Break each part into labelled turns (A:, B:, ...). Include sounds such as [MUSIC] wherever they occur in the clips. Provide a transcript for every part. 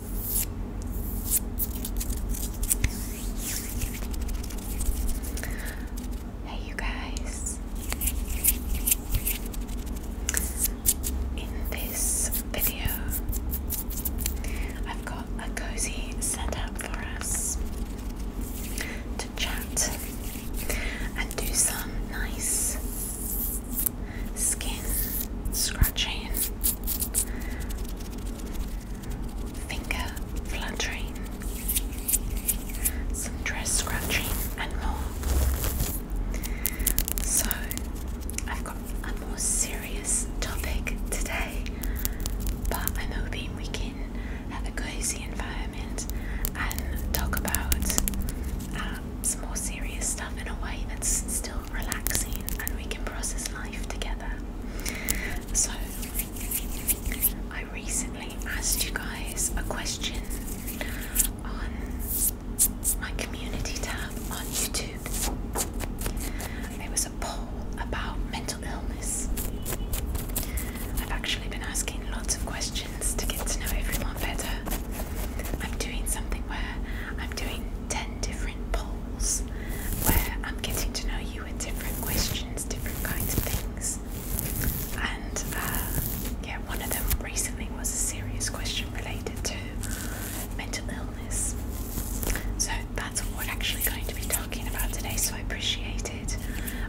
A: Hey, you guys! In this video, I've got a cozy setup for us to chat and do some nice skin scratching, finger fluttering, some dress scratching, and more. So, I've got a more serious topic today, but I'm hoping we can have a cozy environment and talk about uh, some more serious stuff in a way that's still relaxing and we can process life together. So, I recently asked you guys a question on my community tab on YouTube. There was a poll about mental illness. I've actually been asking lots of questions to get to know everyone better. I'm doing something where I'm doing 10 different polls where I'm getting to know you with different questions, different kinds of things. And uh, yeah, one of them recently was a serious question related to mental illness. So that's what we're actually going to be talking about today. So I appreciated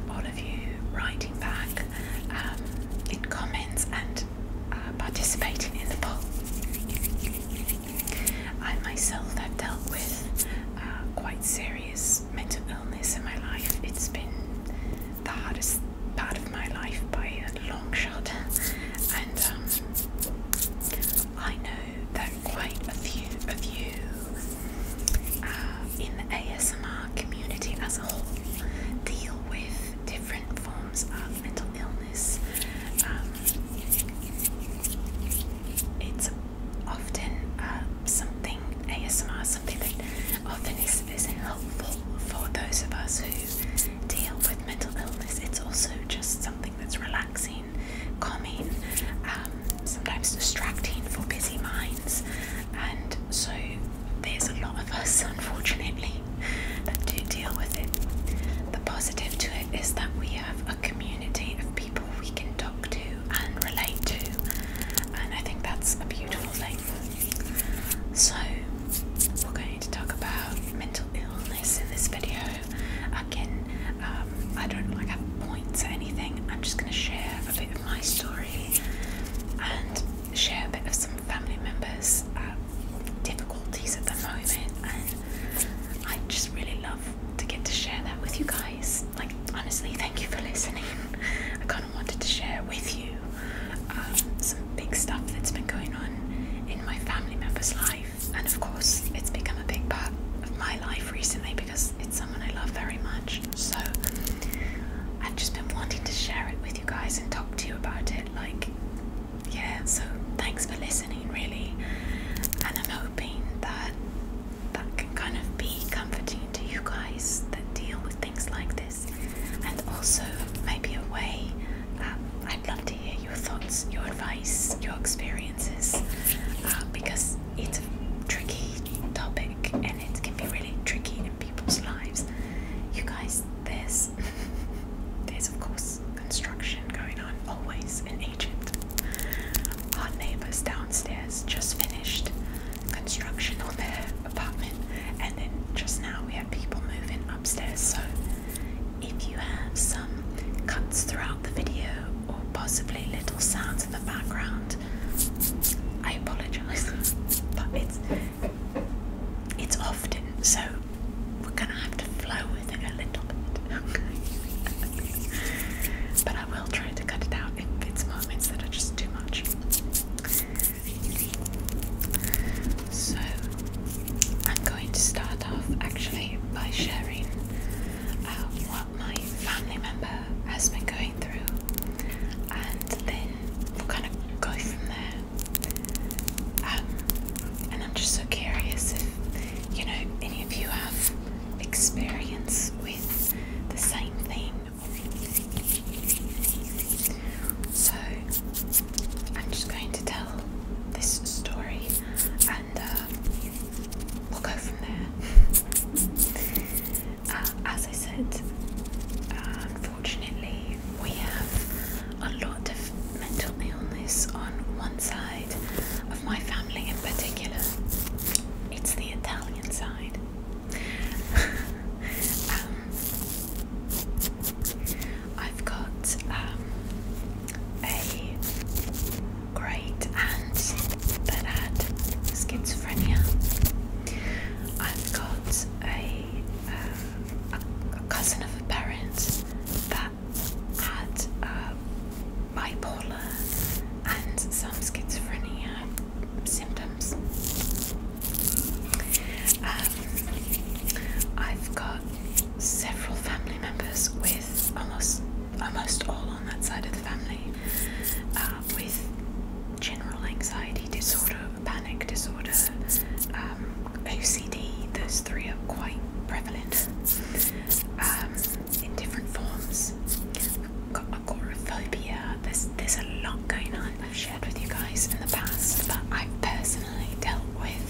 A: all of you writing back um, in comments and uh, participating in the poll. I myself have dealt with uh, quite serious mental illness in my life. It's been the hardest part of my life by a long shot, and um, I know that quite a few of you uh, in the ASMR community as a whole deal with different forms of mental illness. Um, it's often uh, something ASMR, something that often is, helpful for those of us who deal with mental illness. It's also just something that's relaxing, calming, um, sometimes distracting for busy minds, and so there's a lot of us, unfortunately, that do deal with it. The positive to it is that we have a community of people we can talk to and relate to, and I think that's a beautiful thing. So, we're going to talk about mental illness in this video. Again, um, I don't like have points or anything, I'm just going to share a bit of my story and share a bit of some family members' uh, difficulties at the moment I just really love to get to share that with you guys. Like, honestly, thank you for listening. I kind of wanted to share with you um, some big stuff that's been going on in my family member's life, and of course, it's become a big part of my life recently because it's someone I love very much. So, I've just been wanting to share it with you guys and talk to you about it. Like, yeah, so thanks for listening, really. And I'm hoping that that can kind of be comforting to you guys that deal with things like this, and also maybe a way that I'd love to hear your thoughts, your advice, your experiences, uh, because it's a tricky topic and it can be really tricky in people's lives. You guys, there's [LAUGHS] there's of course construction going on, always an agent. Our neighbors downstairs just finished construction on their apartment, and then just now we had people moving upstairs. So, if you have some cuts throughout the video or possibly little sounds in the background, I apologize, [LAUGHS] but it's it's often so we're gonna have to flow with it a little bit, but I will try to cut it out if it's moments that are just too much. So I'm going to start off actually by sharing uh, what my family member has been going through, and then we'll kind of go from there. Um, and I'm just so curious if you know, any of you have experience with the same thing. So, I'm just going to tell this story and uh, we'll go from there. [LAUGHS] Uh, as I said, unfortunately, we have a lot of mental illness on one side of my family in particular. It's the Italian side. [LAUGHS] Um, I've got um, a great aunt that had schizophrenia. I've got a, um, cousin of a parent that had uh, bipolar and some schizophrenia symptoms. Um, I've got several family members with almost almost all on that side of the family uh, with general anxiety disorder, panic disorder, um, OCD. Those three are quite prevalent. Um, in different forms. We've got agoraphobia. There's there's a lot going on. I've shared with you guys in the past but I've personally dealt with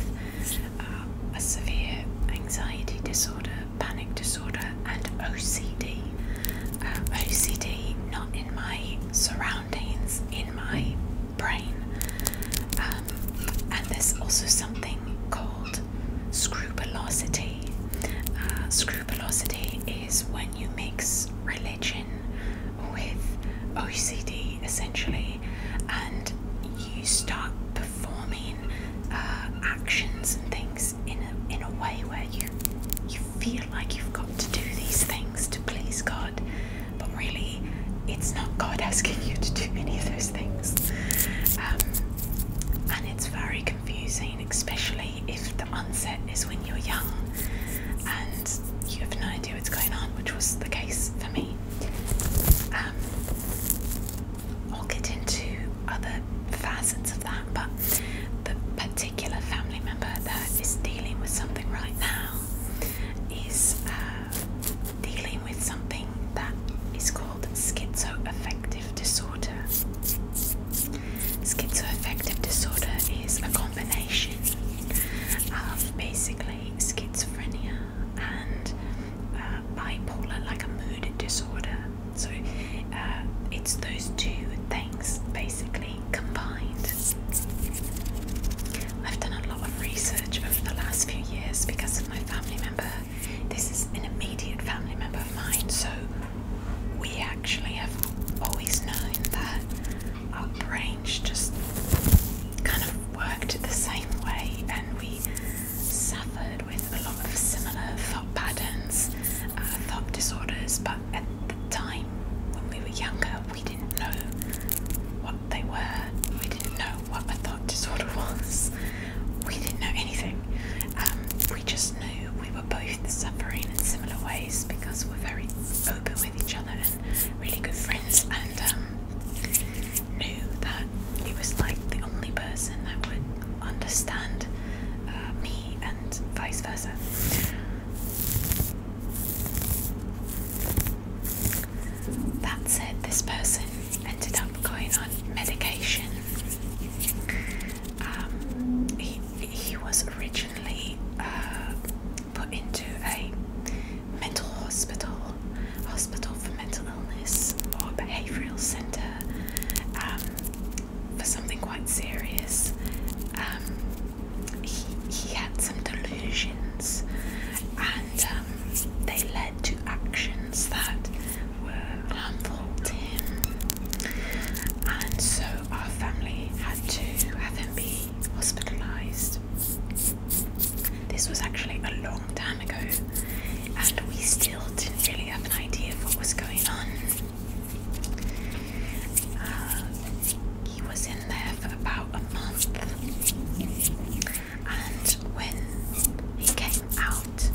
A: uh, a severe anxiety disorder, panic disorder, and OCD. Uh, OCD not in my surroundings, in my brain. Uh, and there's also something called uh, screw velocity. is when you mix religion with OCD essentially, and you start performing uh, actions and things in a, in a way where you you feel like you've got to do these things to please God, but really it's not God asking you to do any of those things. Um, and it's very confusing, especially if the onset is when you're young and you have no idea what's going on, which was the case for me. Um, I'll get into other facets of that, but the particular family member that is dealing with something right now is uh, dealing with something that is called schizoaffective disorder. Schizoaffective disorder is a combination of basically schizophrenia and uh, bipolar, like a mood disorder. So uh, it's those two things basically combined. I've done a lot of research over the last few years because of my family member this is an immediate family member of mine, so we actually have always known that our brains just kind of worked the same way and we suffered with a lot of similar thought patterns, uh, thought disorders, but at the time when we were younger, we didn't know what they were, we didn't know what a thought disorder was. We didn't know anything. Um, we just knew we were both suffering in similar ways because we're very open with each other and really good friends, and um, knew that he was like the only person that would understand uh, me and vice versa. That said, this person ended up going on medication. Um, he, he was originally uh, put into a mental hospital, hospital for mental illness or behavioural centre um, for something quite serious. Um, he, he had some delusions and they led to actions that were harmful to him. And so our family had to have him be hospitalised. This was actually a long time ago, and we still didn't really have an idea of what was going on. Uh, he was in there for about a month and when he came out,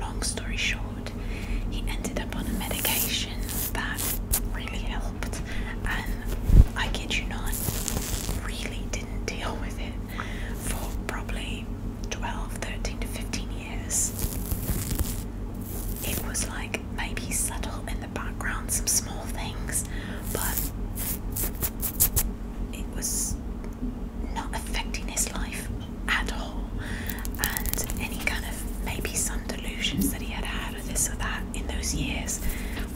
A: long story short, he ended up on a medication that really helped, and I kid you not, really didn't deal with it for probably 12, 13 to 15 years. It was like maybe subtle in the background, some small things, but it was not affecting his life at all, and any kind of maybe some delusions that he had had of this or that in those years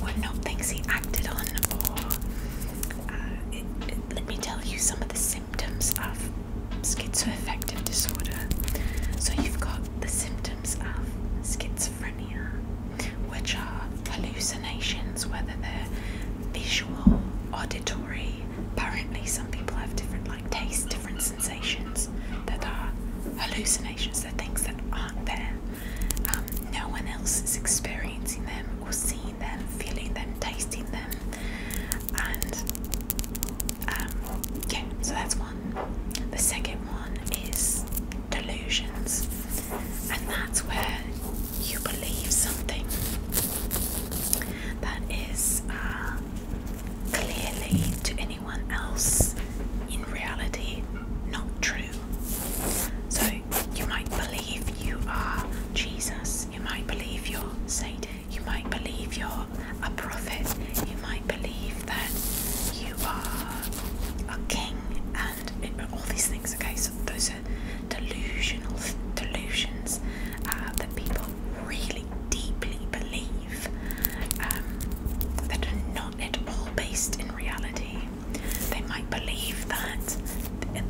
A: were not things he acted on. Or uh, let me tell you some of the symptoms of schizoaffective disorder. So you've got the symptoms of schizophrenia, which are hallucinations, whether they're visual, auditory, Apparently, some people have different like tastes, different sensations that are hallucinations. that things that aren't there. Um, no one else is experiencing them or seeing them, feeling them, tasting them, and um, So that's one. The second one is delusions, and that's where you believe something that is uh, clearly to anyone else in reality not true. So you might believe you are Jesus, you might believe you're Satan, you might believe you're a prophet, you might believe that you are a king and all these things. Okay, so those are delusional delusions uh, that people really deeply believe um, that are not at all based in reality. They might believe that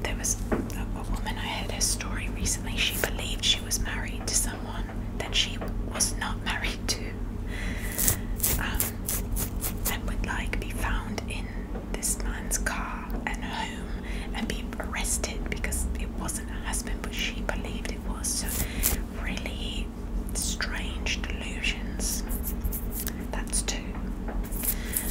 A: there was a, woman I heard her story recently. She believed she was married to someone that she was not [LAUGHS] married to, um, and would like be found in this man's car and home and be arrested because it wasn't her husband, but she believed it was. So, really strange delusions. That's two.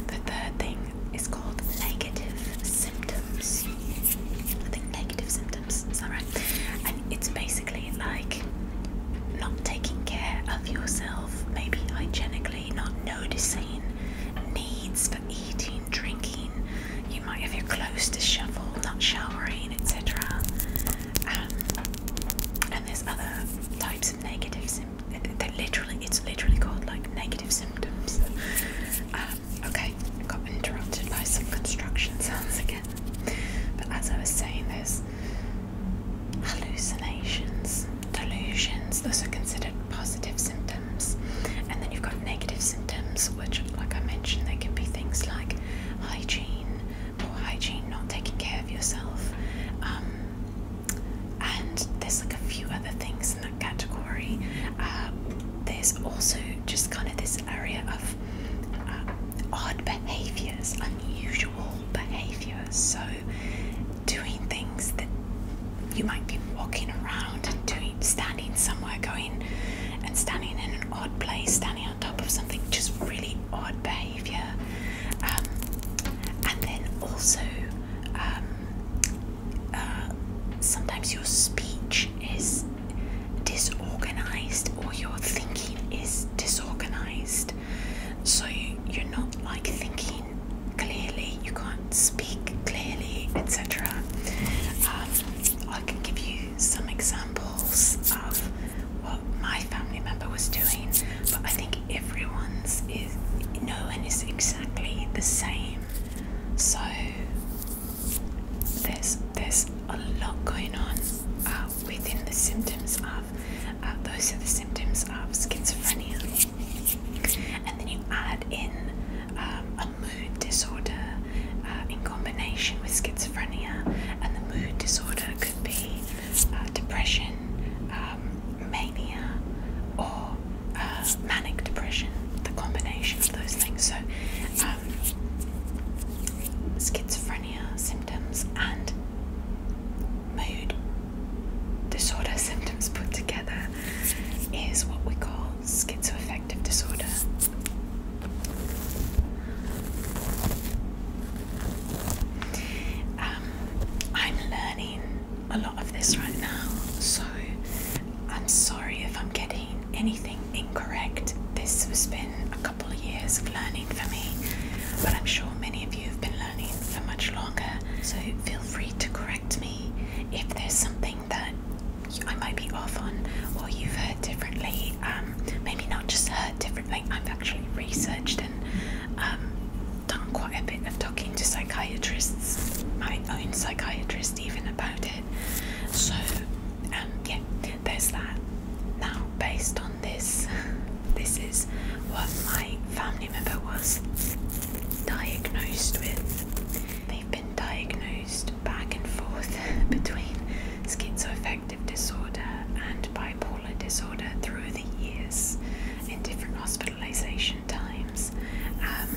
A: The third thing is called negative symptoms. I think negative symptoms, is that right? And it's basically like not taking care of yourself, maybe hygienically, not noticing needs eating, drinking. You might have your clothes to shovel, not showering, etc. Um, and there's other types of negative symptoms. They're literally, it's literally called like negative symptoms. Um, okay, got interrupted by some construction sounds again. But as I was saying, there's hallucinations, delusions. Those are considered positive symptoms. And then you've got negative symptoms, which, like I mentioned, they can be things like hygiene, poor hygiene, not taking care of yourself. Um, and there's like a few other things in that category. Uh, there's also just kind of this area of uh, odd behaviors, unusual behaviors. So, doing things that you might be walking around and doing, standing somewhere, going and standing in an odd place, standing on top of something, just really odd behavior. Um, and then also, um, uh, sometimes your speech is disorganized or your thinking is disorganized. So you're not like thinking clearly you can't speak clearly, etc. Um, I can give you some examples of what my family member was doing, but I think everyone's is no one is exactly the same. So there's there's a lot going on uh, within the symptoms of uh, those are the symptoms of schizophrenia, and then you add in um, a mood disorder uh, in combination with schizophrenia, and the mood disorder could be uh, depression, um, mania, or uh, manic depression, the combination of those things. So, um, schizophrenia symptoms and mood disorder symptoms put together is what we call schizoaffective disorder. Um, I'm learning a lot of this right now, so I'm sorry if I'm getting anything incorrect. This has been a couple of years of learning for me, but I'm sure many of you have been learning for much longer, so feel free to correct me if there's something that I might be off on or you've heard differently. Um, maybe not just heard differently, I've actually researched and um, done quite a bit of talking to psychiatrists, my own psychiatrist, even about it. So, um, yeah, there's that. Now, based on this, [LAUGHS] this is what my family member was diagnosed with. They've been diagnosed back and forth [LAUGHS] between schizoaffective disorder and bipolar disorder through the years in different hospitalization times um,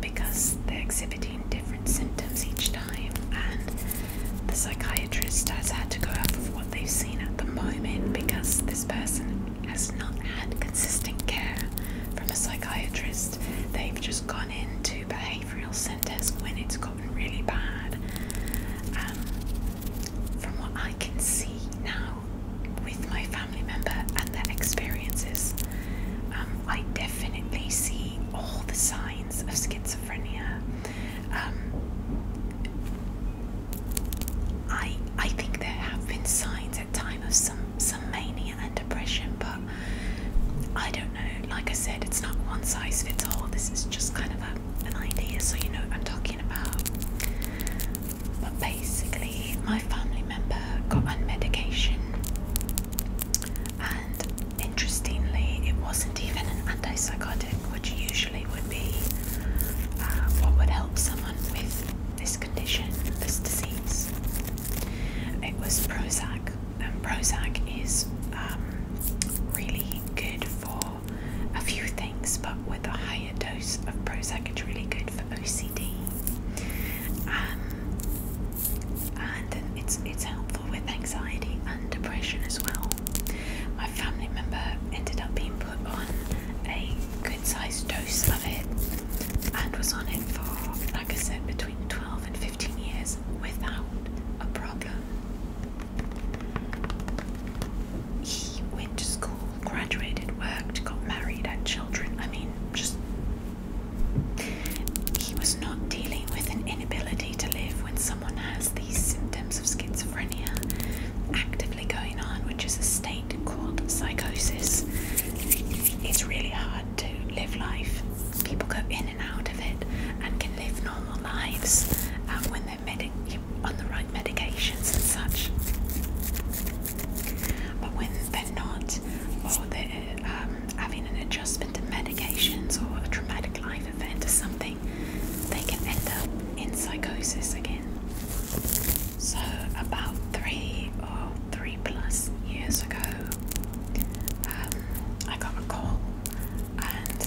A: because they're exhibiting different symptoms each time, and the psychiatrist has had to go off of what they've seen at the moment because this person has not had consistent care from a psychiatrist. They've just got into behavioural centres when it's gotten really bad. Um, from what I can see now with my family member and their experiences, um, I definitely see all the signs of schizophrenia. Um, I I think there have been signs at time of some some mania and depression, but I don't know. Like I said, it's not one size fits all. This is just kind of an idea, so you know what I'm talking about. But basically, my family member got on medication, and interestingly, it wasn't even an antipsychotic, which usually would be uh, what would help someone with this condition, this disease. It was Prozac. Prozac is um, really good for a few things, but with a higher dose of Prozac, it's really good for OCD. Um, and it's it's helpful with anxiety and depression as well. My family member ended up being put on a good sized dose of it and was on it for, like I said, between 12 12 and 15 years without a problem. He went to school, graduated, worked, got married, had children. I mean, just. He was not dealing with an inability to live when someone has these symptoms of schizophrenia actively going on, which is a state called psychosis. It's really hard to live life people go in and out of it and can live normal lives um, when they're on the right medications and such. But when they're not, or they're um, having an adjustment to medications or a traumatic life event or something, they can end up in psychosis again. So, about three or three plus years ago, um, I got a call, and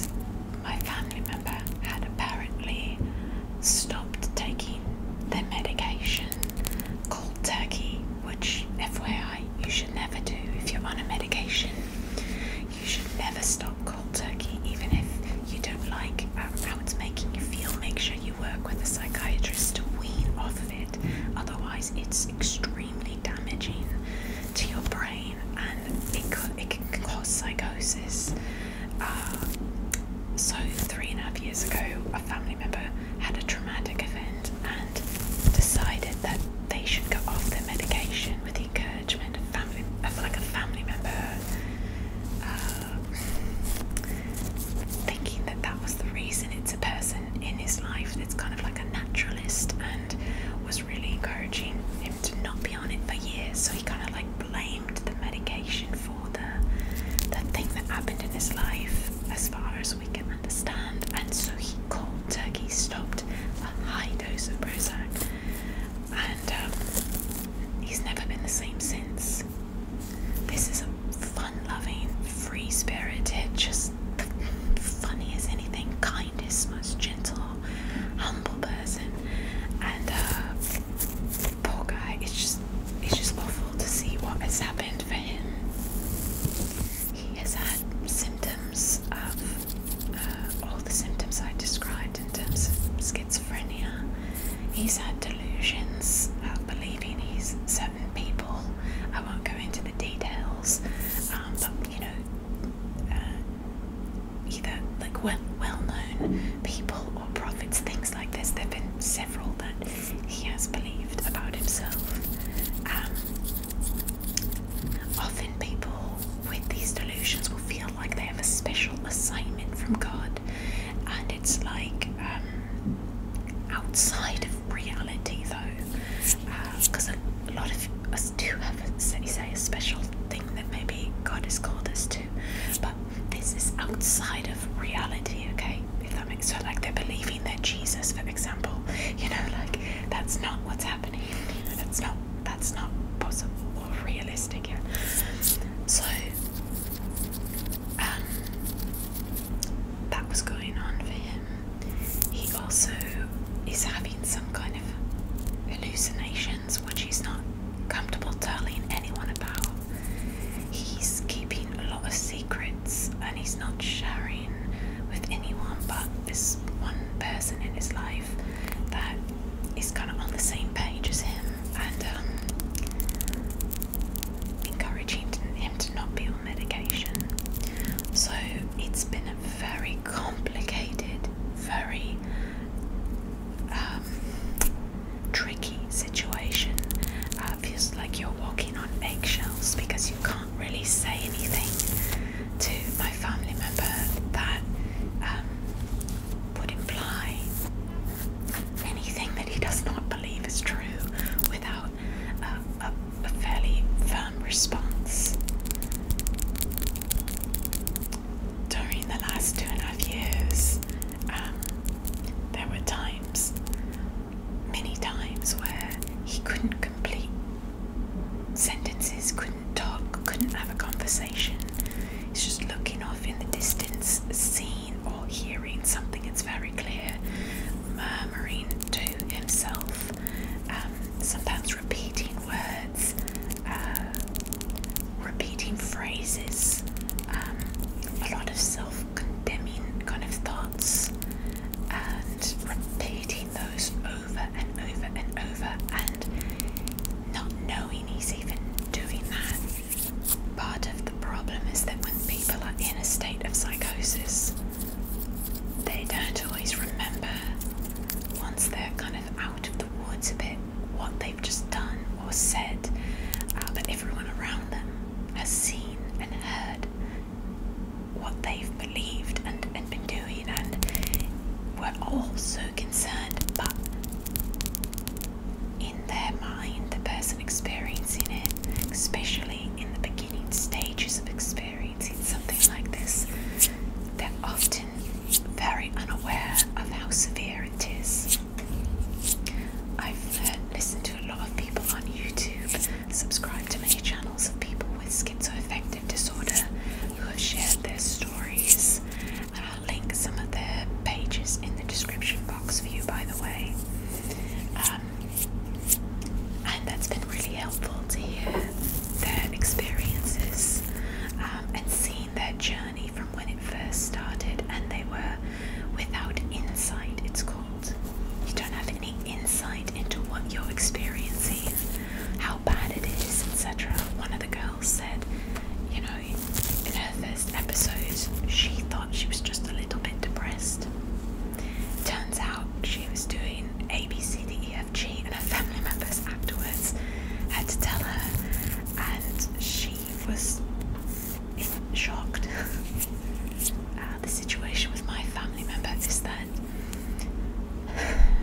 A: my family member had apparently stopped taking their medication cold turkey, which, FYI, you should never do if you're on a medication. You should never stop cold turkey, even if you don't like uh, how it's making you feel. Make sure you work with a psychiatrist to wean off of it. Otherwise, it's extremely damaging to your brain, and it could, it can cause psychosis. Uh, so three and a half years ago, a family member had a traumatic event and decided that they should go off their medication with the encouragement of family, of like a family member. Uh, thinking that that was the reason it's a person in his life that's kind of like a natural and was really encouraging him to not be on it for years. So he kind of like blamed the medication for the the thing that happened in his life, as far as we can understand. And so he called turkey stopped a high dose of Prozac, and um, he's never been the same since. This is a fun-loving, free-spirited, just funny as anything, kindest, most gentle, humble person. And uh, poor guy, it's just it's just awful to see what has happened for him. He has had symptoms of uh, all the symptoms I described in terms of schizophrenia. He's had delusions about believing he's people. I won't go into the details, um, but you know, uh, either like well, well-known people or prophets, things like this. There've been several that he has believed about himself. Um, often, people with these delusions will feel like they have a special assignment from God, and it's like um, outside of reality though, because uh, a lot of us do have, a, say, a special thing that maybe God has called us to, but this is outside of reality, okay? If that makes sense, like they're believing that Jesus, for example, you know, like that's not what's happening. That's not that's not possible or realistic. Yeah. So um, that was going on for him. He also is having some kind of hallucinations which he's not comfortable telling anyone about. He's keeping a lot of secrets and he's not sharing with anyone but this one person in his life that is kind of on the same page as him and um, encouraging him to not be medication. So it's been a very complicated, very um, tricky situation. Uh, feels like you're walking on eggshells because you can't really say anything to my family member that um, would imply anything that he does not believe is true without uh, a a fairly firm response. During the last two and a half years, um, there were times, many times, where he couldn't complete sentences, couldn't talk, couldn't have a conversation. He's just looking off in the distance, seeing or hearing something that's very clear, murmuring to himself. Um, sometimes repeating words, uh, repeating phrases, um, a lot of self condemning kind of thoughts, and repeating those over and over and over, and not knowing he's even doing that. Part of the problem is that when people are in a state of psychosis, they don't always remember once they're kind of out of the woods a bit what they've just done or said, uh, but everyone around them has seen and heard what they've believed and, and been doing, and we're all so concerned, but in their mind, the person experiencing it, especially in the beginning stages of experience experiencing something like this, they're often very unaware of how severe it is. I've uh, listened to a lot of people on YouTube, subscribed to many channels of people with schizoaffective disorder who have shared their stories. And I'll link some of their pages in the description box for you, by the way. Um, and that's been really helpful to hear their experiences um, and seen their journey from when it first started, and they were without insight, it's called. You don't have any insight into what you're experiencing, how bad it is, etc. One of the girls said, you know, in her first episodes, she thought she was just a little bit depressed. Turns out she was doing A, B, C, D, E, BFG and her family members afterwards had to tell her, and she was shocked. [LAUGHS] Uh, the situation with my family member is that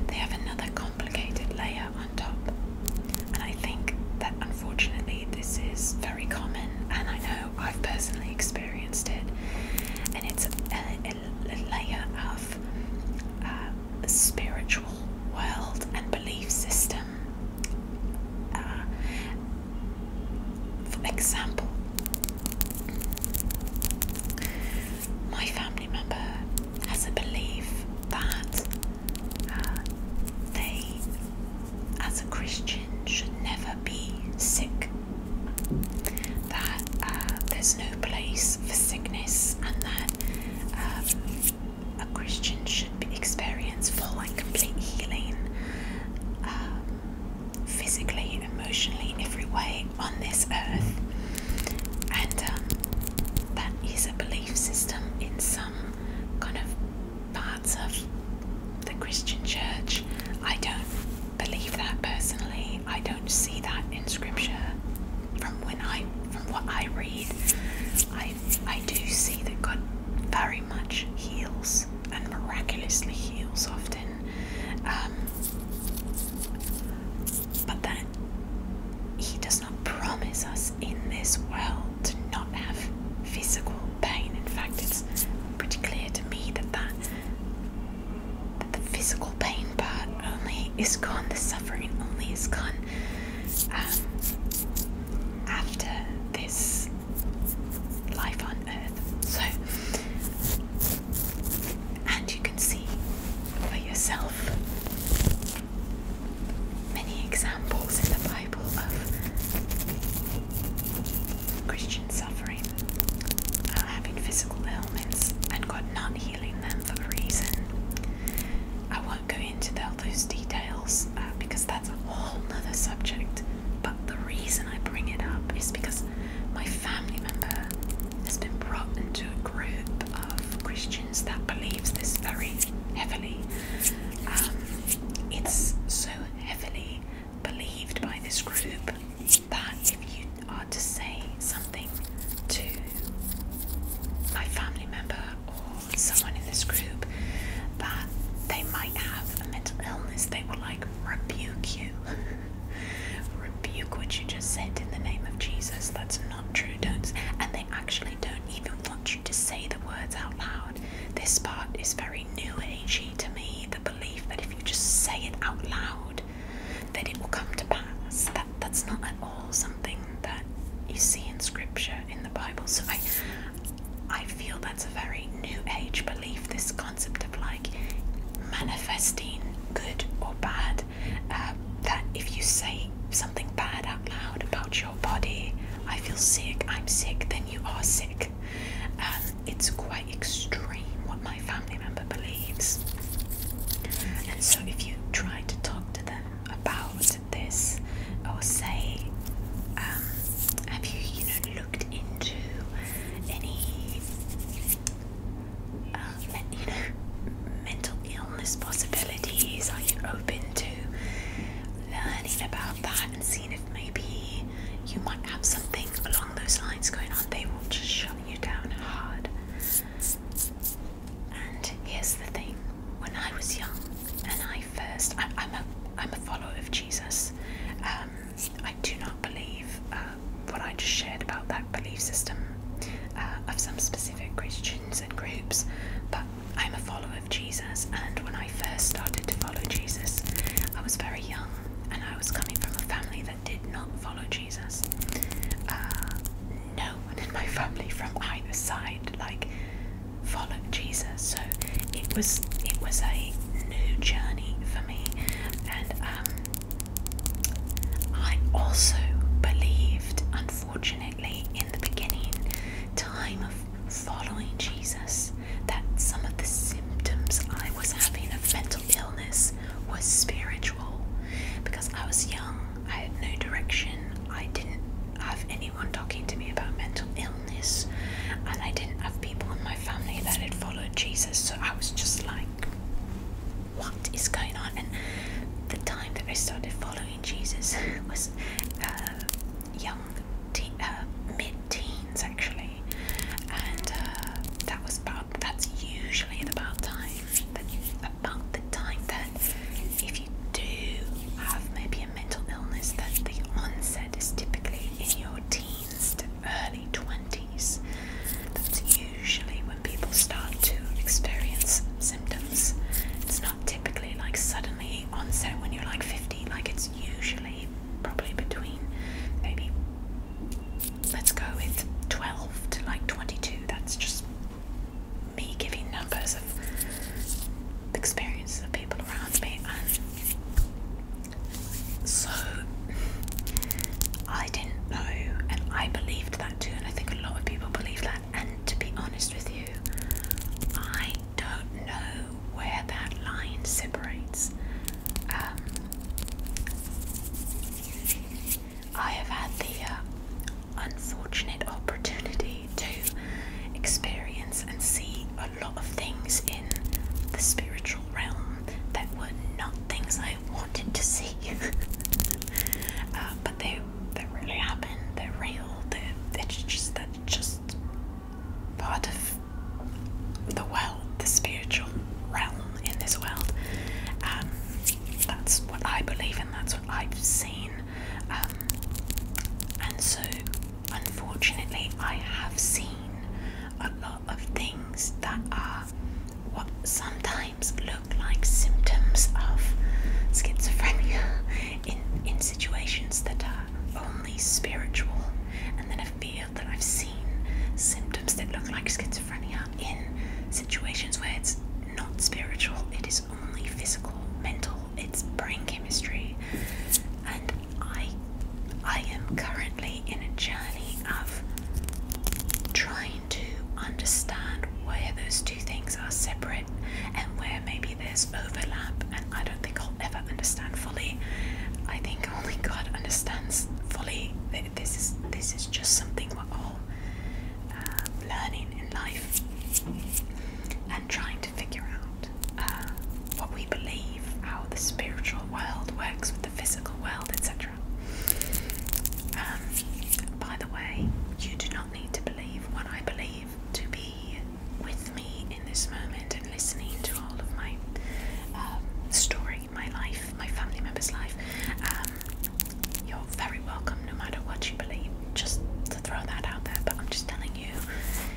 A: they have another complicated layer on top, and I think that unfortunately this is very common, and I know I've personally experienced it, and it's uh, a, layer of um, spiritual world and belief system. Uh, for example, my family member has a belief that uh, they, as a Christian, should never be sick that uh, there's no place for sickness and that um, a Christian should experience full and complete healing um, physically, emotionally, every way on this earth. And um, that is a belief system in some kind of parts of the Christian church. I don't believe that personally. I don't see that in scripture. From when I from what I read, I I do see that God very much heals and miraculously heals often. Um, but then, he does not promise us in this world to not have physical pain. In fact, it's pretty clear to me that that but the physical pain part only is gone, the suffering only is gone um, after this life on earth. So, and you can see for yourself many examples in the Bible of Christian suffering, uh, having physical ailments, and God not healing for a reason. I won't go into those details uh, because that's a whole other subject. But the reason I bring it up is because my family member has been brought into a group of Christians that believes this very heavily. Um, it's so heavily believed by this group that if you are to say something to my family member or someone in this group that they might have a mental illness, they will like rebuke you. [LAUGHS] rebuke what you just said in the name of Jesus. That's not true, don't and they actually don't even want you to say the words out loud. This part is very new agey to me, the belief that if you just say it out loud that it will come to pass. That that's not at all something that you see in scripture in the Bible. So I I feel that's a very new age belief, this concept of like manifesting good or bad. Um, that if you say something bad out loud about your body, I feel sick, I'm sick, then you are sick. Um, it's quite extreme my family member believes. And so, if you try to talk to them about this, or say, um, "Have you, you know, looked into any, uh, you know, mental illness possibilities? Are you open to learning about that and seeing if maybe you might have something along those lines going on?" They will just shut you down hard. And here's the thing: when I was young, and I first, I, am a, I'm a follower of Jesus. Um, I do not believe uh, what I just shared about that belief system uh, of some specific Christians and groups, but I'm a follower of Jesus. And when I first started to follow Jesus, I was very young, and I was coming from a family did not follow Jesus. Uh, no one in my family from either side like followed Jesus, so it was it was a new journey for me. And um, I also believed, unfortunately, in the beginning time of following Jesus, that some of the symptoms I was having of mental illness was spiritual because I was young, I had no direction, I didn't have anyone talking to me about mental illness, and I didn't have people in my family that had followed Jesus, so I was just like, what is going on? And the time that I started following Jesus [LAUGHS] was uh, young, uh, mid teens actually, and uh, that was about that's usually about time that about the time that if you do have maybe a mental illness, that the onset is typically in your teens to early twenties. That's usually when people start to experience symptoms. It's not typically like suddenly onset when you're like fifty. Like it's usually probably between maybe let's go with 12 to like 22. That's just me giving numbers of experiences of people around me. And so I didn't know, and I believed that too. And I think a lot of people believe that. And to be honest with you, I don't know where that line separates. Um, I have had the uh, unfortunate opportunity to experience and see a lot of things in the spiritual realm that were not things I wanted to see, [LAUGHS] uh, but they they really happen. They're real. They're, they just that's just part of the world, the spiritual realm in this world. Um, that's what I believe in, that's what I've seen. Um, and so, unfortunately, I have seen a lot of things that are what sometimes look like symptoms of schizophrenia [LAUGHS] in, in situations that are only spiritual. And then I feel that I've seen symptoms that look like schizophrenia schizophrenia in situations where it's not spiritual, it is only physical, mental, it's brain chemistry. And I I am currently in a journey of trying to understand where those two things are separate and where maybe there's overlap and I don't think I'll ever understand fully. I think only God understands fully this is this is just something we're um, learning in life and trying to figure out uh, what we believe, how the spiritual world works with the physical world, etc. Um, by the way, you do not need to believe what I believe to be with me in this moment and listening to all of my um, story, my life, my family member's life. Um, you're very welcome no matter what you believe, just to throw that out there. But I'm just telling you,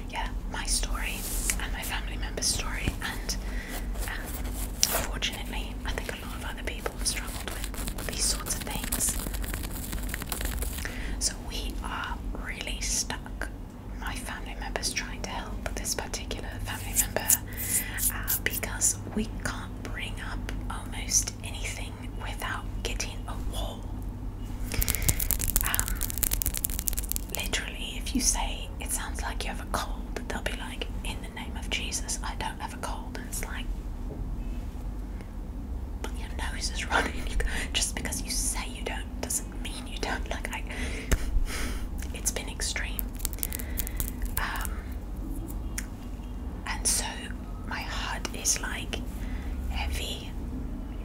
A: yeah, my story and my family member's story, and um, unfortunately, I think a lot of other people have struggled with these sorts of things. So we are really stuck. My family member's trying to help this particular family member uh, because we can't bring up almost anything without getting a wall. Um, literally, if you say it sounds like you have a cold, they'll be like, in the name of Jesus, I don't have a cold. And it's like, but your nose is [LAUGHS] running. just because you say you don't doesn't mean you don't. Like, it's been extreme. Um, and so my heart is like heavy,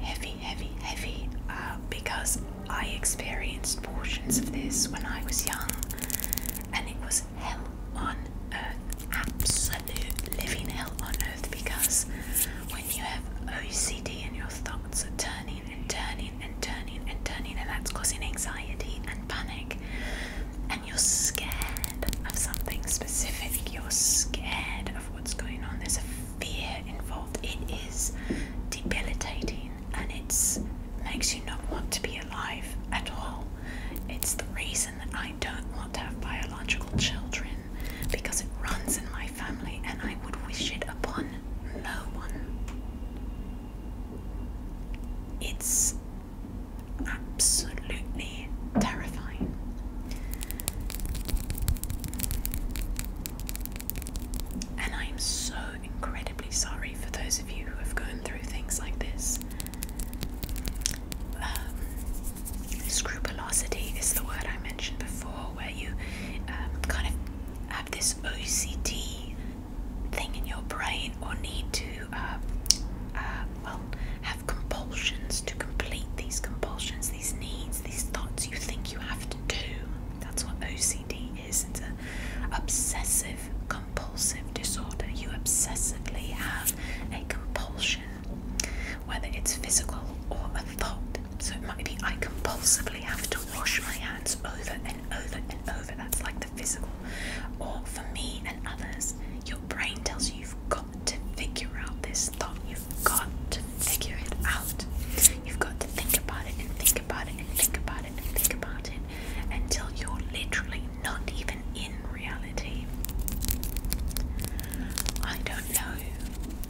A: heavy, heavy, heavy uh, because I experienced portions of this when I was young and it was hell on earth, absolute living hell on earth because when you have OCD and your thoughts are turning and turning and turning and turning and that's causing anxiety and panic and you're scared of something specific, you're scared of what's going on, there's a fear involved, it is debilitating and it makes you not want to be alive at all. It's the reason that I don't want to have biological children because it runs in my family and I would wish it upon no one. It's absolutely terrifying. And I am so incredibly sorry for those of you who have gone through things like this. Um, scrupulosity is the word I mentioned before, where you um, kind of have this OCD thing in your brain or need to to, uh, uh, well, have compulsions to complete these compulsions, these needs, these thoughts you think you have to do. That's what OCD is. It's an obsessive compulsive disorder. You obsessively have a compulsion, whether it's physical or a thought. So it might be I compulsively have to wash my hands over and over and over. That's like the physical or for me and others, your brain tells you you've got to figure out this thought. You've got to figure it out. You've got to think about it and think about it and think about it and think about it until you're literally not even in reality. I don't know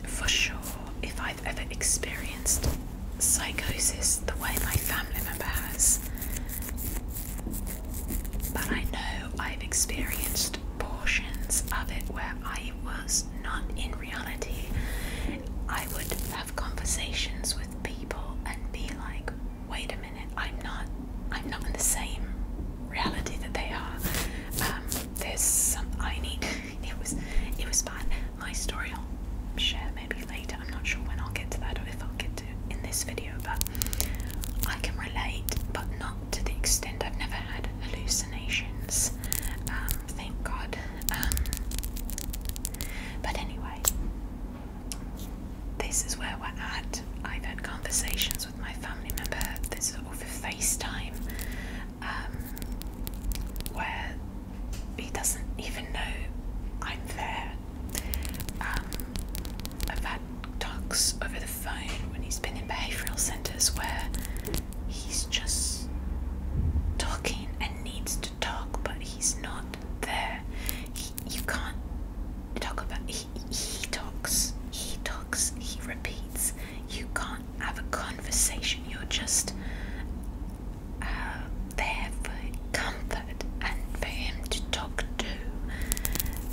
A: for sure if I've ever experienced psychosis the way my family member has. But I know I've experienced portions of it where I was not in reality. I would have conversations with people and be like, wait a minute, I'm not I'm not in the same reality that they are. Um, there's some I need [LAUGHS] it was it was bad. My story I'll share maybe later. I'm not sure when I'll get to that or if I'll get in this video, but I can relate, but not to the extent I've never had hallucinations. Um, thank God. Um, but anyway, this is where we're at. I've had conversations with my family member. This is all the FaceTime, um, where he doesn't even know I'm there. I've had talks over the phone when he's been in behavioural centres where he's just talking and needs to talk, but he's not there. He, you can't talk about. He, he talks. He talks. He repeats. You can't have a conversation. You're just uh, there for comfort and for him to talk to.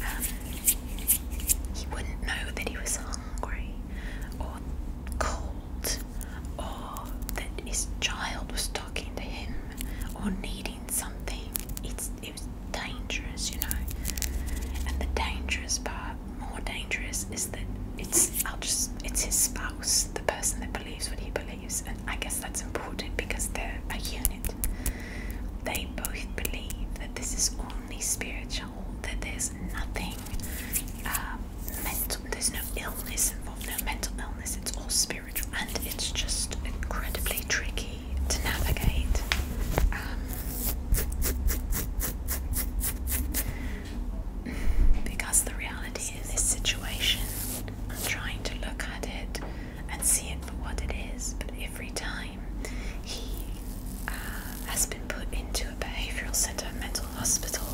A: Um, he wouldn't know that he was hungry or cold or that his child was talking to him or needing something. It's, it dangerous, you know. And the dangerous part, more dangerous, is that it's I'll just it's his spouse, the person that believes what he believes, and I guess that's important because they're a unit. They both believe that this is only spiritual, that there's nothing um, mental, there's no illness involved, no mental illness, it's all spiritual, and it's just incredibly tricky to navigate. Um, because the reality of this situation, I'm trying to look at it and see it for what it is. But every time he uh, has been put into a behavioral center, mental hospital,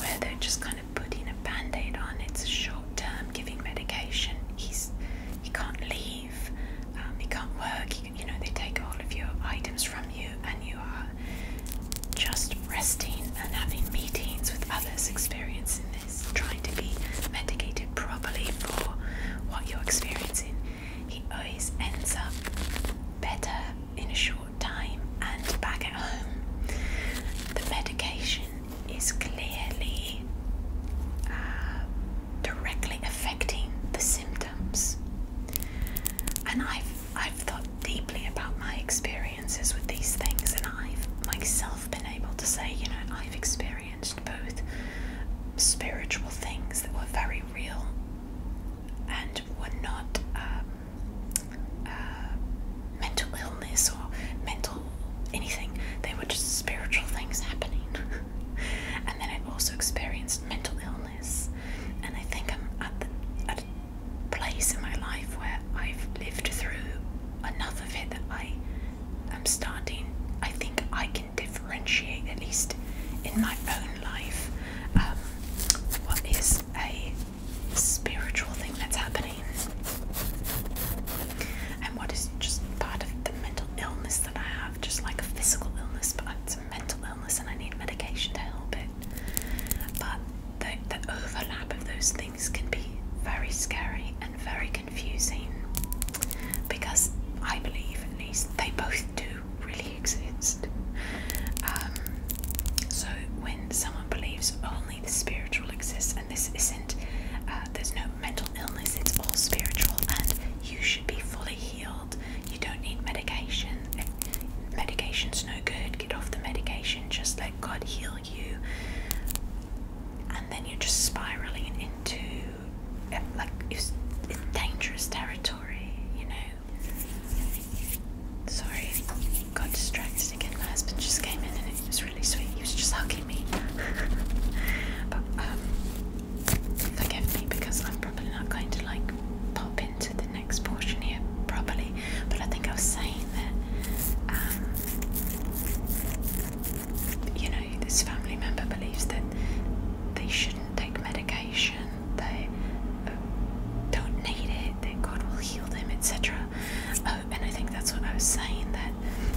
A: where they're just kind of putting a band aid on, it's a short term giving medication. He's he can't leave, um, he can't work. you know, they take all of your items from you, and you are just resting and having meetings with others experiencing this, trying to be medicated treated properly for what you're experiencing, he always ends up better in a short time and back at home. The medication is clearly uh, directly affecting the symptoms. And I've I've thought deeply about my experiences with these things, and I've myself been able to say, you know, I've experienced experienced both spiritual things that were very real and were not um, uh, mental illness or mental anything, they were just spiritual things happening. [LAUGHS] and then I also experienced mental illness, and I think I'm at, the, at place in my life where I've lived through enough of it that I am starting. I think I can differentiate, at least in my own life, um, what is a spiritual thing that's happening and what is just part of the mental illness that I have, just like a physical illness, but it's a mental illness and I need medication to help it. But the, the overlap of those things can be very scary and very confusing because I believe, at least, they both do really exist. Um, so when someone believes only the spiritual exists, and this isn't, uh, there's no mental illness, it's all spiritual, and you should be fully healed. You don't need medication. medication's no good. Get off the medication. Just let God heal you. And then you're just spiraling into like it's, dangerous territory, you know. Sorry, got distracted again. My husband just came in and it was really sweet. He was just hugging me. [LAUGHS] but um, forgive me because I'm probably not going to like pop into the next portion here properly. But I think I was saying that um, you know, this family member believes that they shouldn't take medication, they uh, don't need it, that God will heal them, etc. Oh, and I think that's what I was saying that,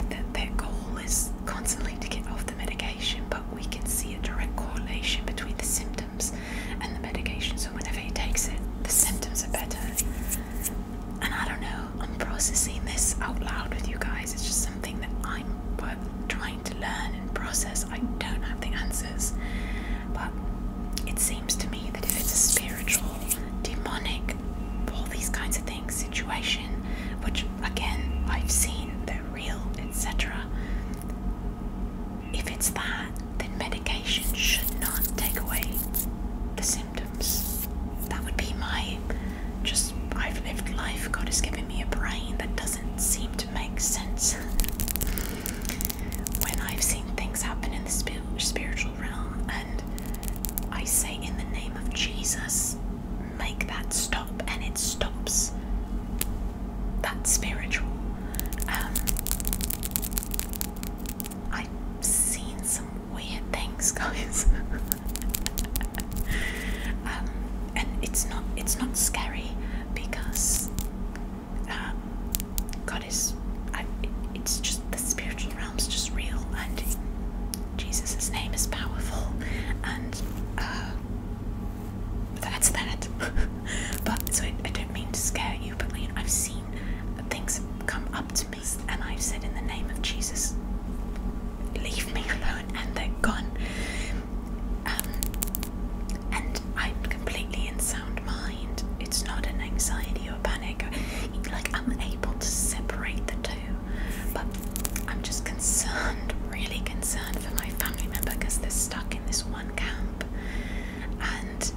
A: that their goal is constantly to get off the medication, but we can see a direct correlation between the symptoms and the medication. So whenever he takes it, the symptoms are better. And I don't know, I'm processing this out loud with you guys. It's just something that I time, but trying to learn and process, I don't have the answers. But it seems to me that if it's a spiritual, demonic, all these kinds of things situation, which again I've seen, they're real, etc. If it's that, then medication should not take away the symptoms. That would be my just I've lived life. God has given me a brain that doesn't seem to make sense. when I've seen things happen in the spiritual realm, and I say, in the name of Jesus, make that stop, and it stops. That's spiritual. Um, I've seen some weird things, [LAUGHS] guys. Um, and it's not it's not scary because uh, God is it's just the spiritual realm's just real and Jesus' name is powerful and uh, that's that [LAUGHS] but so I, I don't mean to scare you but I've seen things come up to me and I've said in the name of Jesus leave me alone and they're gone. Um, and I'm completely in sound mind. It's not an anxiety or panic. Like, I'm able to separate the two. But I'm just concerned, really concerned for my family member because they're stuck in this one camp and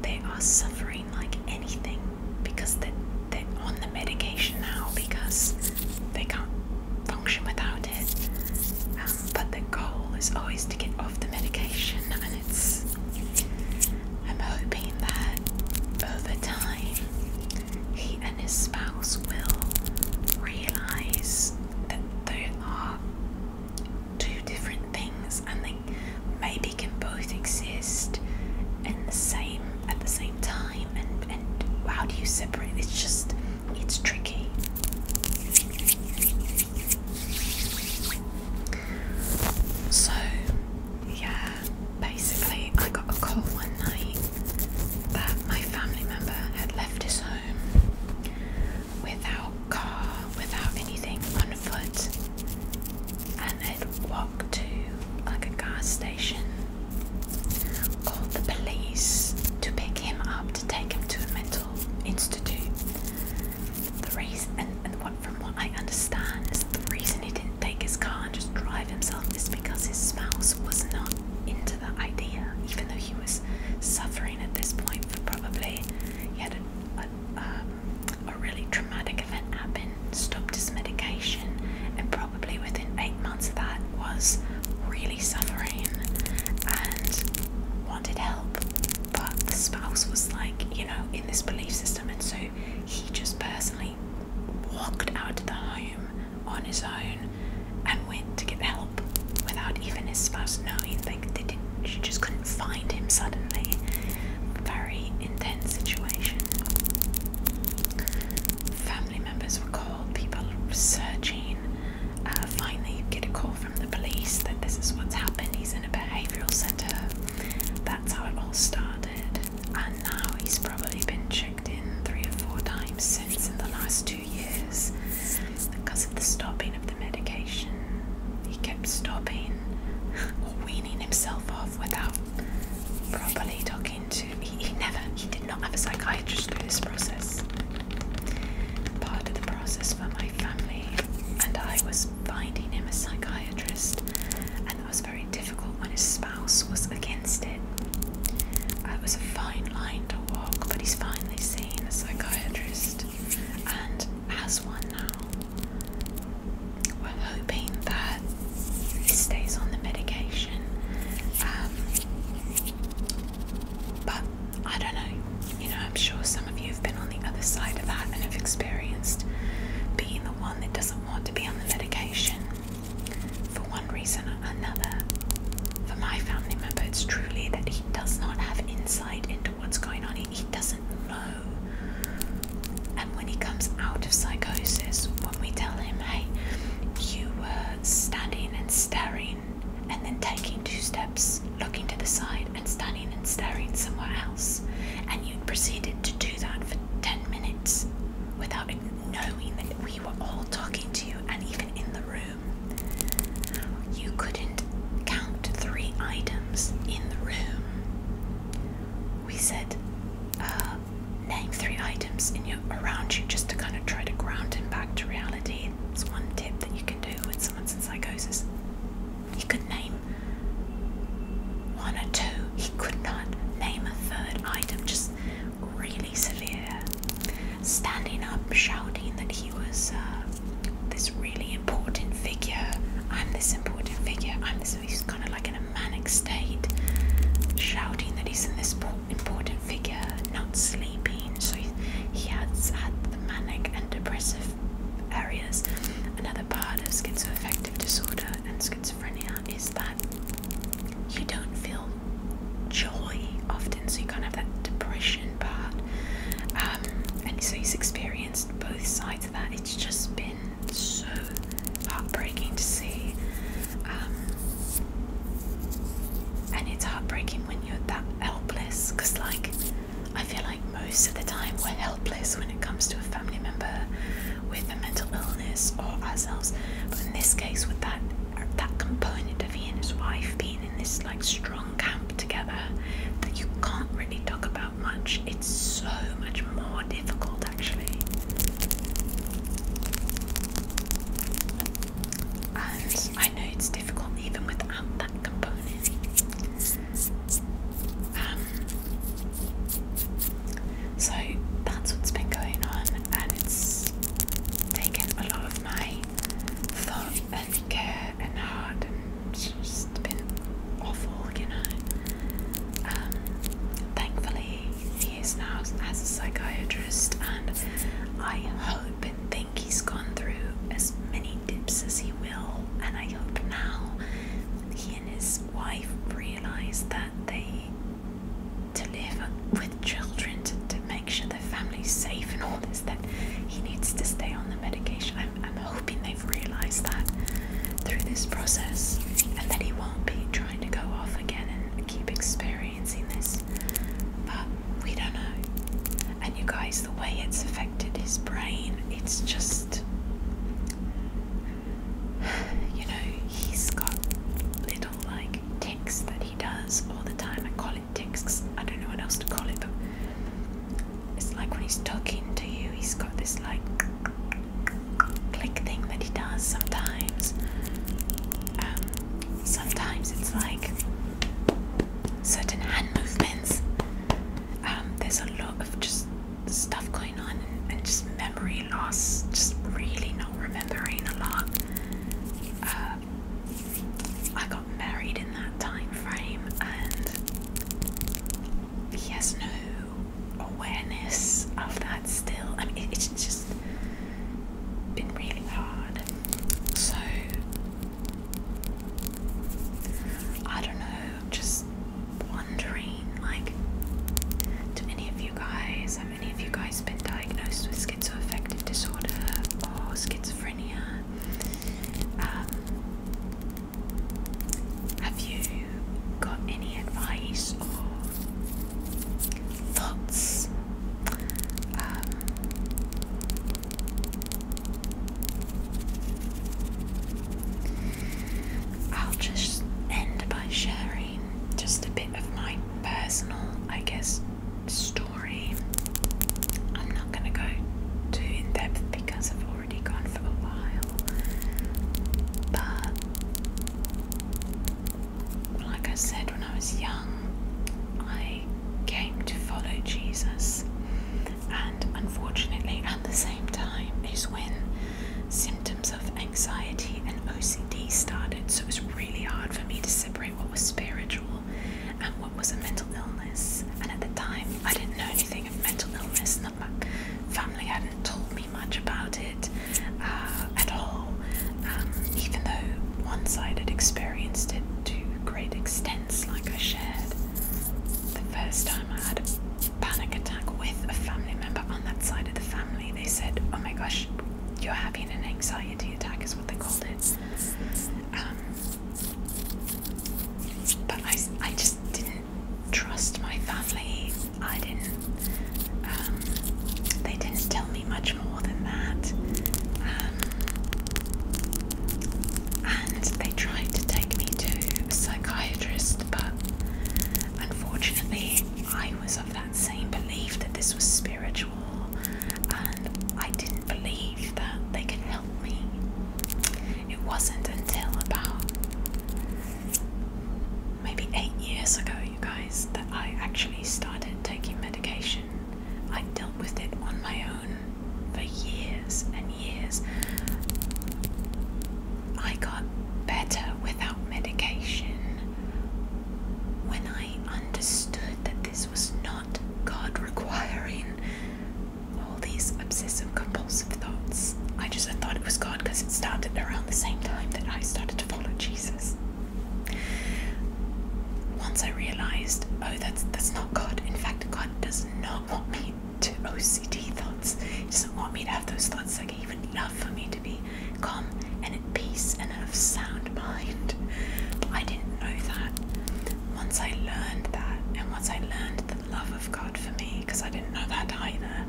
A: they are suffering like anything because they're, they're on the medication now because they can't function without it. Um, but the goal is always to get off the medication, and it's. I'm hoping that over time he and his spouse will realize that there are two different things and they maybe can both exist in the same at the same time and and how do you separate it's just it's tricky. So, yeah, basically, I got a call one night that my family member had left his home without car, without anything, on foot, and had walked to like a gas station called the police to pick him up to take him to a mental institute. The reason, and, and what, from what I understand, is the reason he didn't take his car and just drive himself is because his spouse was not into the idea, even though he was suffering at this point for probably he had a, a, um, a really traumatic event happen, stopped his medication, and probably probably within eight months of that was really suffering and wanted help, but the spouse was like, you know, in this belief system, and so he just personally walked out of the home on his own and went to get help without even his spouse knowing. Like they didn't, she just couldn't find him suddenly. Very intense situation. Family members were called, people searching, uh, finally get a call from the police that this is what's happened. He's in a behavioural centre. That's how it all started. And now he's probably been checked in three or four times since in the last two years because of the stopping of the medication. He kept stopping or [LAUGHS] weaning himself off without properly talking to he, never he did not have a psychiatrist through this process. Part of the process for my family and I was finding him a psychiatrist and that was very difficult when his spouse was against it. It was a fine line to walk, but he's finally seen a psychiatrist and has one now. We're hoping that he stays on the medication um, but I don't know, you know, I'm sure some of you have been on the other side of that and have experienced being the one that doesn't want to be on the medication for one reason or another. For my family member, it's truly that he does not have insight into what's going on, he doesn't know. And when he comes out of psychosis, when we tell him, hey, you were standing and staring and then taking two steps, looking to the side, and standing and staring somewhere else. And you proceeded to do that for 10 minutes without knowing that we were all talking to you and even in the room. You couldn't count three items in the room. We said, uh, name three items in your around you just to kind of try to ground him back to reality it's one tip that you can do when someone's in psychosis. He could name one or two. He could not name a third item. Just really severe. Standing up, shouting that he was uh, this really important figure. I'm this important figure. I'm this. He's kind of like in a manic state, shouting that he's in this important figure not sleeping, so he, he has had the manic and depressive areas. Another part of schizoaffective disorder and schizophrenia is that you don't feel joy often, so you can't have that depression part. Um, and so he's experienced both sides of that. It's just been so heartbreaking to see. Um, and it's heartbreaking when you're that helpless because like i feel like most of the time we're helpless when it comes to a family member with a mental illness or ourselves but in this case with that that component of he and his wife being in this like strong camp together that you can't really talk about much it's so much more difficult actually and I know it's difficult even without that component. Um, so that's what's been going on, and it's taken a lot of my thought and care and heart, and it's just been awful, you know. Um, thankfully, he is now as a psychiatrist, and I hope I think he's gone through as many dips as he will. And I hope now he and his wife realize that they to live with children to, make sure their family's safe and all this that he needs to stay on the medication. I'm, hoping they've realized that through this process and that he won't be trying to go off again and keep experimenting experiencing this, but we don't know. And you guys, the way it's affected his brain, it's just. You know, he's got little like ticks that he does all the time. I call it ticks, I don't know what else to call it, but it's like when he's talking to you, he's got this like click thing that he does sometimes. Um, sometimes it's like certain hand movements. Um, there's a lot of just stuff going on and, just memory loss, just really not remembering a lot. Uh, I got married in that time frame and he has no awareness of that still. I mean, it's just been really hard. So I don't know, just wondering like, do any of you guys, have any of you guys been diagnosed with schizoaffective disorder or schizophrenia? Um, have you got any advice or thoughts? Um, I'll just end by sharing just a bit of my personal, I guess, story. I'm not going to go too in depth because I've already gone for a while, but like I said, when I was young, I came to follow Jesus. And unfortunately, at the same time, is when symptoms of anxiety and OCD started. So it was really hard for me to separate what was spiritual and what was a mental illness. And at the time, I didn't know anything of mental illness, not my family hadn't told me much about it uh, at all, um, even though one side had experienced it too great extents, like I shared. The first time I had a panic attack with a family member on that side of the family, they said, Oh my gosh, you're having an anxiety attack, is what they called it. Um, but I, I just didn't trust my family. I didn't, um, they didn't tell me much more than that. Um, and they tried to take me to a psychiatrist, but unfortunately, I was of that same belief that this was spiritual, and I didn't believe that they could help me. It wasn't until about maybe eight years ago, you guys, that I actually started taking medication. I dealt with it on my own for years and years. I got better without medication when I understood that this was not God requiring all these obsessive compulsive thoughts. I just thought it was God because it started around the same time that I started to follow Jesus. Once I realized, Oh, that's that's not God. In fact, God does not want me to OCD thoughts. He doesn't want me to have those thoughts. Like even love for me to be calm and at peace and of sound mind. But I didn't know that. Once I learned that, and once I learned the love of God for me, because I didn't know that either,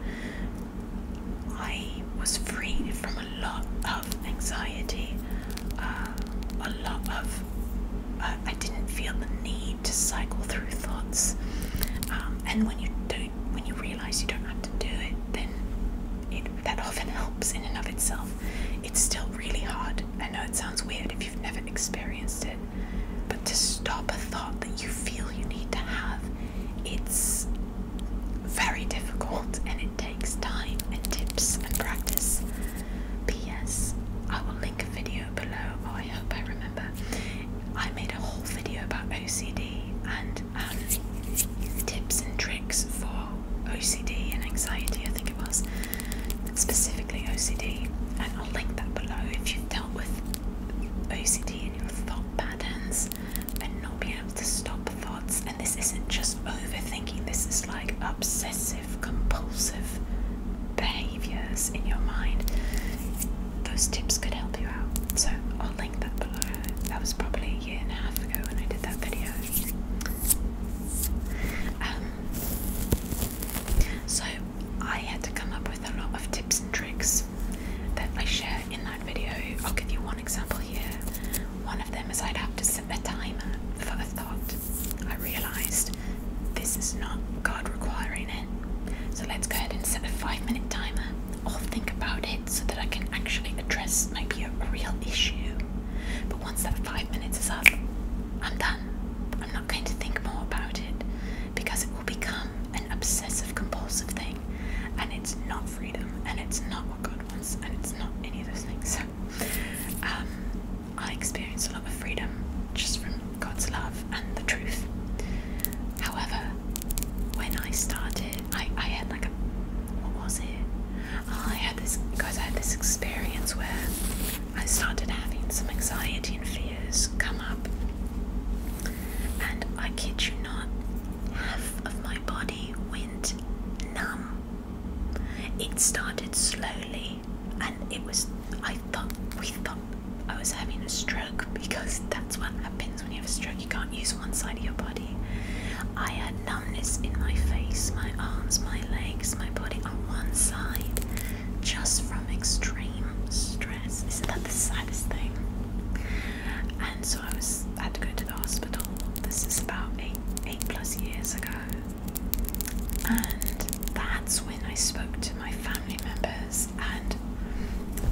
A: I was freed from a lot of anxiety uh, a lot of. Uh, I didn't feel the need to cycle through thoughts, um, and when you don't, when you realize you don't have to do it, then it, that often helps in and of itself. It's still really hard. I know it sounds weird if you've never experienced it, but to stop a thought that you feel you need to have, it's very difficult, and it takes time and tips and practice. P.S. I will link a video below. Oh, I hope I remember. I made a whole video about OCD and um, tips and tricks for OCD and anxiety, I think it was, specifically OCD. And I'll link that below if you've dealt with OCD and your thought patterns and not being able to stop thoughts. And this isn't just overthinking, this is like obsessive obsessive compulsive behaviors in your mind, those tips could help you out. So I'll link that below. That was probably a year and a half ago when I did that video. Um, so I had to come up with a lot of tips and tricks that I share in that video. I'll give you one example here. One of them is I'd have to a timer for a thought. I realized this is not God requiring it. So let's go ahead and set a five minute timer. I'll think about it so that I can actually address maybe a, real issue. But once that five minutes is up, I'm done. I'm not going to think more about it because it will become an obsessive compulsive thing and it's not freedom and it's not what God wants and it's not any of those things. Um, I experienced a lot of freedom just from God's love and the truth. However, when I started, I, I had like a what was it? I had this guys. I had this experience where I started having some anxiety and fears come up, and I kid you not, half of my body went numb. It started slowly and it was. I thought we thought I was having a stroke because that's what happens when you have a stroke. You can't use one side of your body. I had numbness in my face, my arms, my legs, my body on one side, just from extreme stress. Isn't that the saddest thing? And so I was had to go to the hospital. This is about eight eight plus years ago and that's when I spoke to my family members, and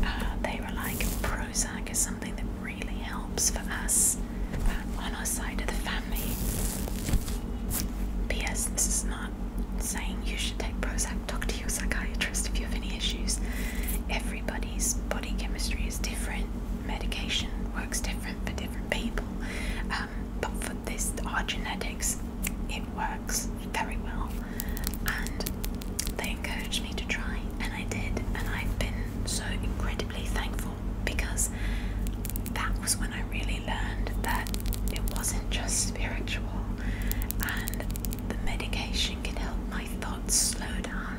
A: uh, they were like, Prozac is something that really helps for us uh, on our side of the family. P.S. This is not saying you should take Prozac. Talk to your psychiatrist if you have any issues. Everybody's body chemistry is different. Medication works different for different people. Uh, but for this, our genetics, it works very well. And they encouraged me to try, and I did, and I've been so incredibly thankful because that was when I really learned that it wasn't just spiritual, and the medication can help my thoughts slow down.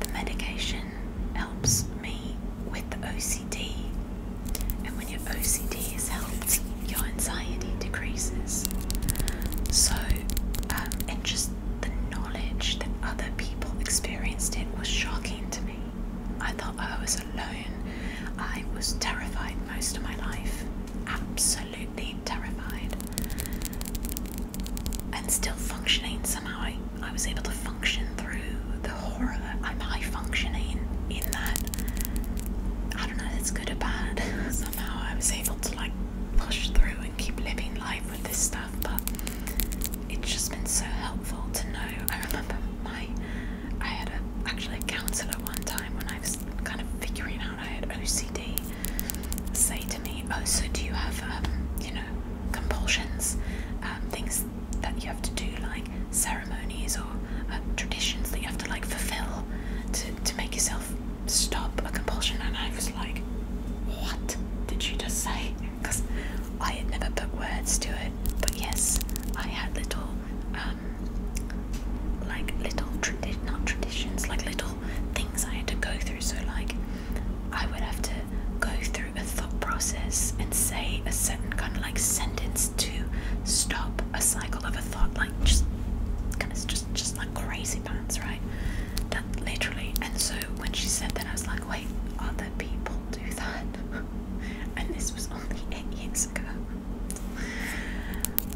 A: The medication helps me with the OCD and when your OCD is helped, your anxiety decreases. So, um, and just the knowledge that other people experienced it was shocking to me. I thought I was alone. I was terrified most of my life, absolutely terrified, and still functioning somehow. I was able to function through the horror. I'm high functioning in that. I don't know it's good or bad. [LAUGHS] Somehow I was able to like push through and keep living life with this stuff, but it's just been so helpful to know. I remember my I had a, actually a counselor one time when I was kind of figuring out I had OCD say to me, "Oh, so do you have um, you know compulsions, um, things that you have to do, like ceremonies or uh, traditions that you have to like fulfill to, to make yourself stop a compulsion. And I was like, what did you just say? Because [LAUGHS] I had never put words to it, but yes, I had little, um, like little tradi not traditions, like little things I had to go through. So, like, I would have to go through a thought process and say a certain kind of like sentence to stop a cycle of a thought, like just kind of just just like crazy pants, right? That literally. And so when she said that, I was like, wait, other people do that, [LAUGHS] and this was only eight years ago.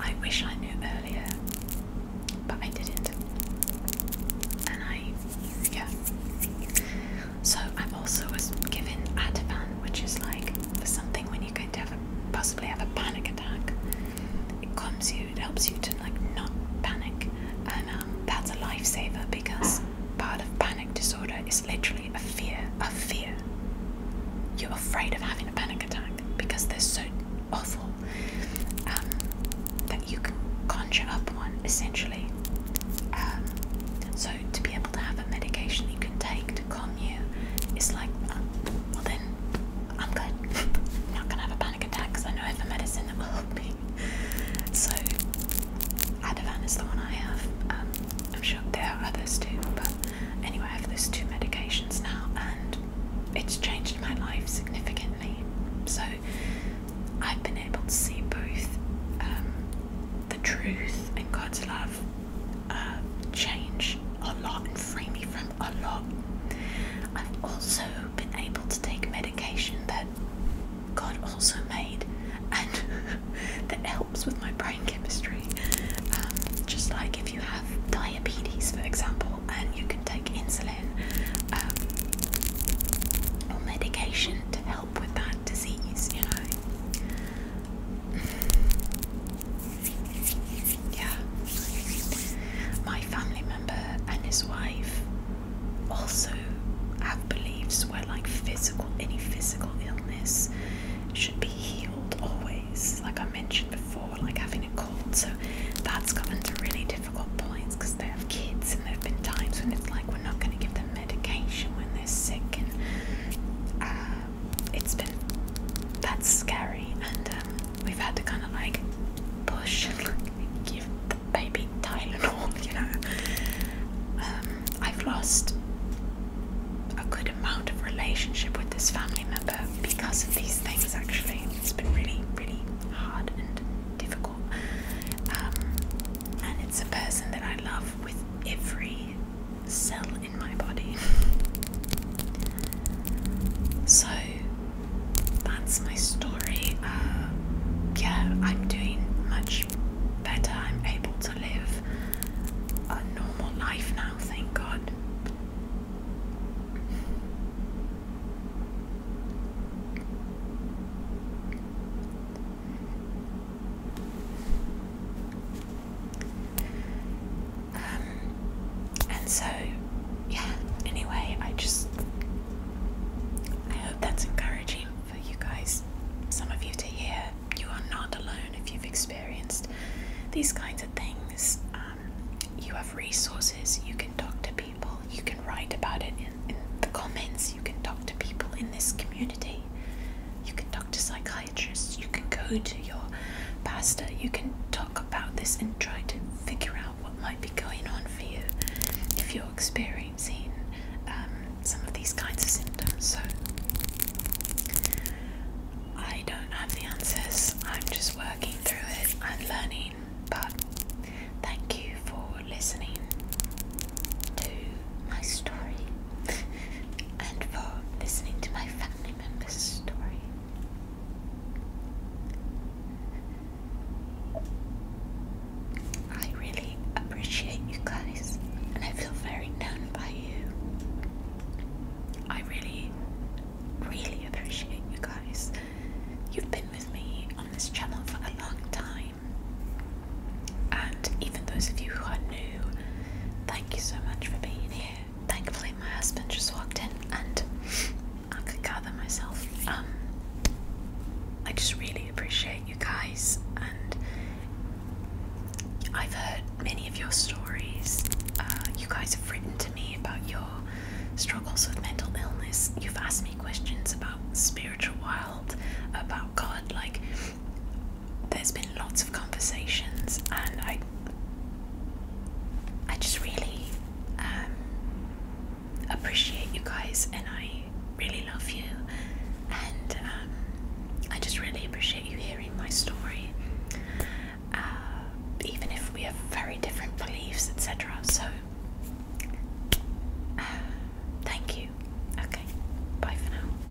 A: I wish I knew earlier, but I didn't. And I, yeah. So I also was given Ativan, which is like for something when you're going to possibly have a panic attack. It calms you, it helps you to like not panic, and um, that's a lifesaver because part of panic disorder is literally a fear of fear. You're afraid of having a panic attack because they're so awful um, that you can conjure up one essentially. Um, so to be able to have a medication you can take to calm you it's like, uh, well then, I'm good. I'm [LAUGHS] not gonna have a panic attack because I know I have a medicine that will help me. So Ativan is the one I have. Um, I'm sure there are others too, but anyway, I have those two medications now, and it's changed my life significantly. So I've been able to see both um, the truth and God's love uh, Change a lot and free me from a lot. I've also been able to take medication that God also made and [LAUGHS] that helps with my brain chemistry. Um, just like if you have diabetes, for example, and you can take insulin um, or medication to help with that disease, you know. yeah. My family member and his wife also have beliefs where like physical any physical illness should be healed always. Like I mentioned before, like having a cold. So that's gotten to really difficult points because they have kids and there have been times when it's like we're not gonna give them medication when they're sick, and uh, it's been that's scary. And um, we've had to kind of like push, [LAUGHS] give the baby Tylenol, [LAUGHS] you know. Um, I've lost a good amount of relationship with this family member because of these things. Actually, it's been really, really hard and difficult. Um, and it's a person that I love with every cell in my body. so that's my story. Uh, yeah, I'm doing much better. I'm able to live a normal life now, thank God. Um, and so, yeah, anyway, I just. I hope that's encouraging for you guys, some of you to hear. You are not alone if you've experienced these kinds of things. Um, you have resources, you can talk to people, you can write about it in, in the comments, you can talk to people in this community, you can talk to psychiatrists you can go to your pastor, you can talk about this and try to figure out what might be going on for you if you're experiencing um, some of these kinds of symptoms. So, I don't have the answers, I'm just working through it and learning, but thank you for listening to my story and for listening to my family member's story. I really appreciate you guys, and I feel very known by you. I really, really appreciate you guys. You've been with me on this channel for a long time. And even those of you who are new, thank you so much for being here. Thankfully, my husband just walked in and I could gather myself. Um, I just really appreciate you guys, and I've heard many of your stories. Uh, you guys have written to me about your struggles with mental illness. You've asked me questions about spiritual world, about God, like there's been lots of conversations, and I, I just really um, appreciate you guys, and I really love you, and um, I just really appreciate you hearing my story, uh, even if we have very different beliefs, etc. So. Uh, thank you. Okay, bye for now.